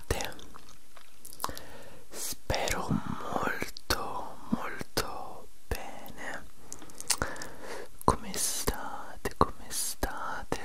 estate spero molto molto bene come state come state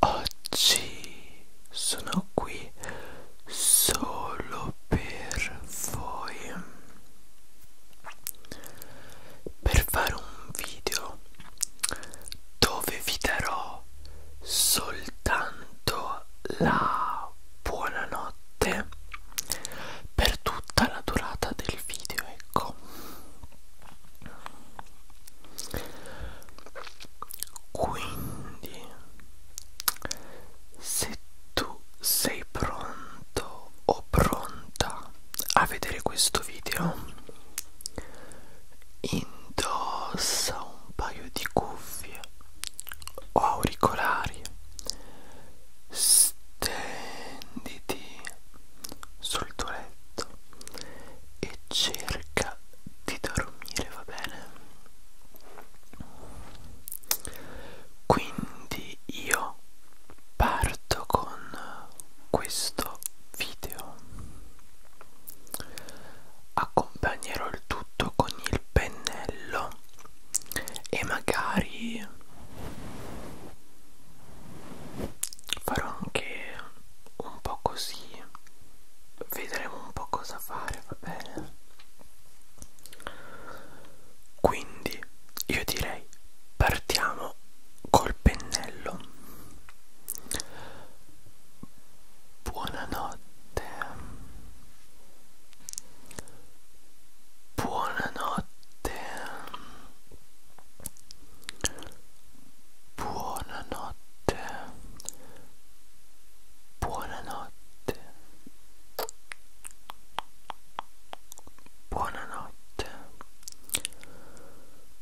oggi sono qui solo per voi per fare un video dove vi darò soltanto la buonanotte per tutta la durata del video ecco quindi se tu sei pronto o pronta a vedere questo video indossa un paio di cuffie o auricolari stenditi sul tuo letto e cerca di dormire va bene quindi io parto con questo video accompagnerò il tutto con il pennello e magari farò anche un po' così vedremo un po' cosa fare va bene quindi io direi partiamo col pennello buonanotte buonanotte buonanotte buonanotte buonanotte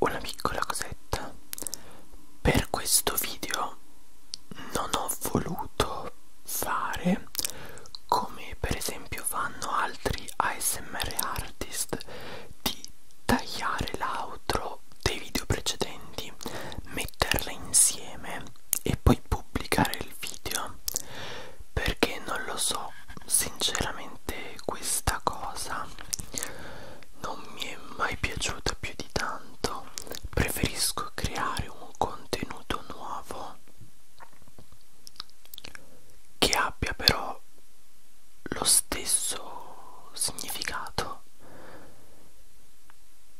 una piccola cosetta per questo video non ho voluto fare come per esempio fanno altri ASMR artist di tagliare l'outro dei video precedenti metterle insieme e poi pubblicare il video perché non lo so sinceramente questa cosa non mi è mai piaciuta più di tanto preferisco creare un contenuto nuovo che abbia però lo stesso significato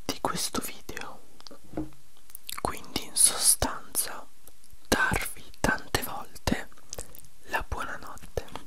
di questo video quindi in sostanza darvi tante volte la buonanotte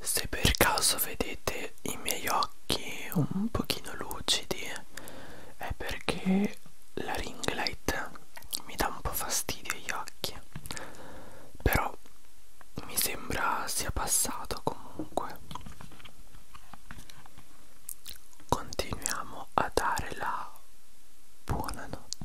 se per caso vedete i miei occhi un pochino lucidi è perché la ring light mi dà un po' fastidio agli occhi però mi sembra sia passato comunque continuiamo a dare la buonanotte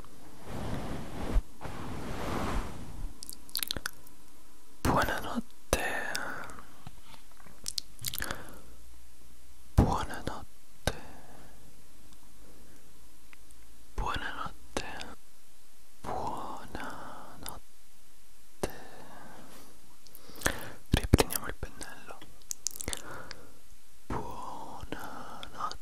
Buonanotte. Buonanotte. Buonanotte. Buonanotte. Riprendiamo il pennello. Buonanotte.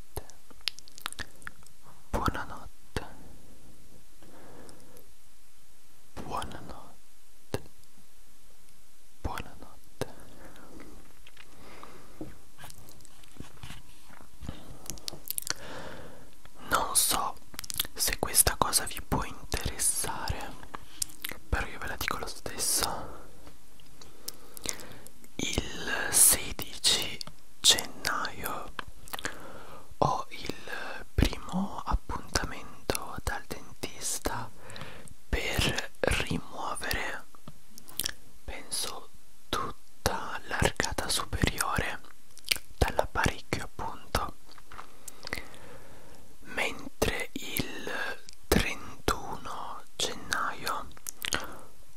buonanotte, buonanotte, buonanotte. Non so se questa cosa vi può interessare, però io ve la dico lo stesso. Il 16 gennaio ho il primo appuntamento dal dentista per rimuovere penso tutta l'arcata superiore dall'apparecchio appunto mentre il 31 gennaio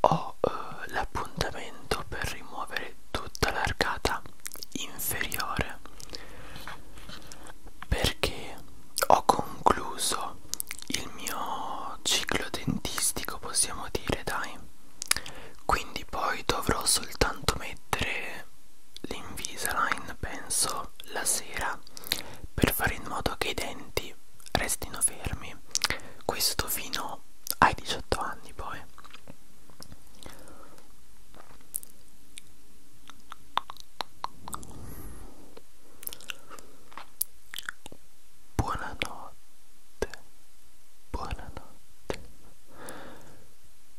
ho eh, l'appuntamento per rimuovere tutta l'arcata inferiore perché ho concluso il mio ciclo dentistico possiamo dire dai quindi poi dovrò soltanto mettere l'invisalign penso la sera per fare in modo che i denti quindi restino fermi questo fino ai 18 anni poi Buonanotte, buonanotte,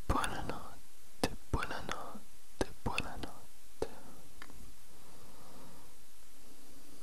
buonanotte, buonanotte, buonanotte.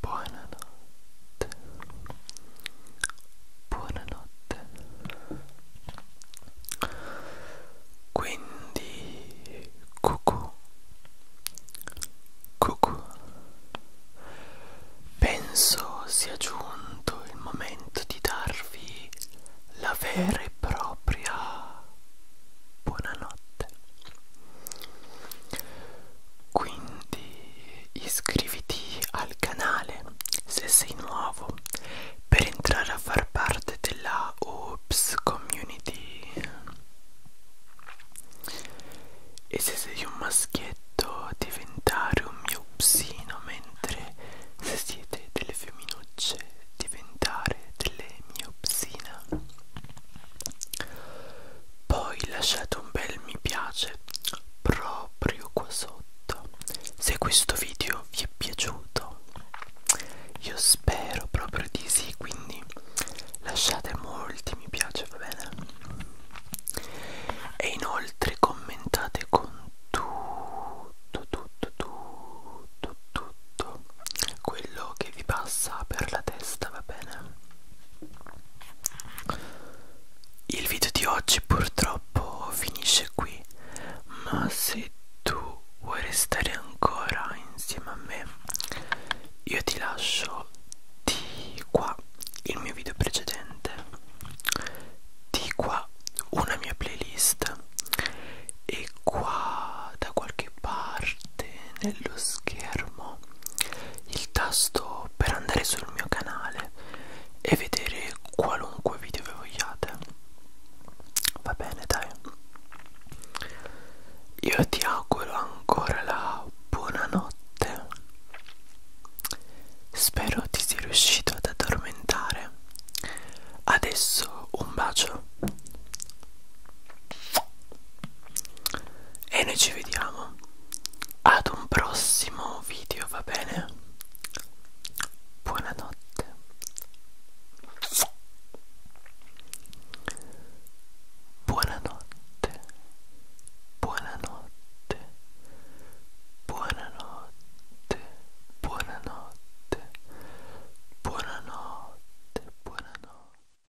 Buonanotte. Buonanotte. Quindi cucù. Cucù. Penso sia giunto il momento di darvi la vera e propria buonanotte quindi iscriviti al canale se sei nuovo per entrare a far parte della Oops Community e se sei un maschietto diventare un mio psino mentre se siete delle femminucce diventare delle miopsina poi lasciate un bel mi piace proprio qua sotto se questo video vi è piaciuto. Io spero proprio di sì, quindi lasciate molti mi piace, va bene? E inoltre commentate con tutto, tutto, tutto, tutto quello che vi passa per la testa, va bene? Il video di oggi purtroppo finisce qui, ma se tu vuoi restare ancora insieme a me, io ti lascio di qua il mio video precedente, di qua una mia playlist e qua da qualche parte nello schermo il tasto per andare sul mio canale e vedere qualunque video che vogliate va bene dai io ti auguro ancora la buonanotte spero ti sia riuscito ad addormentare adesso un bacio e noi ci vediamo ad un prossimo video va bene buonanotte buonanotte buonanotte buonanotte buonanotte buonanotte buonanotte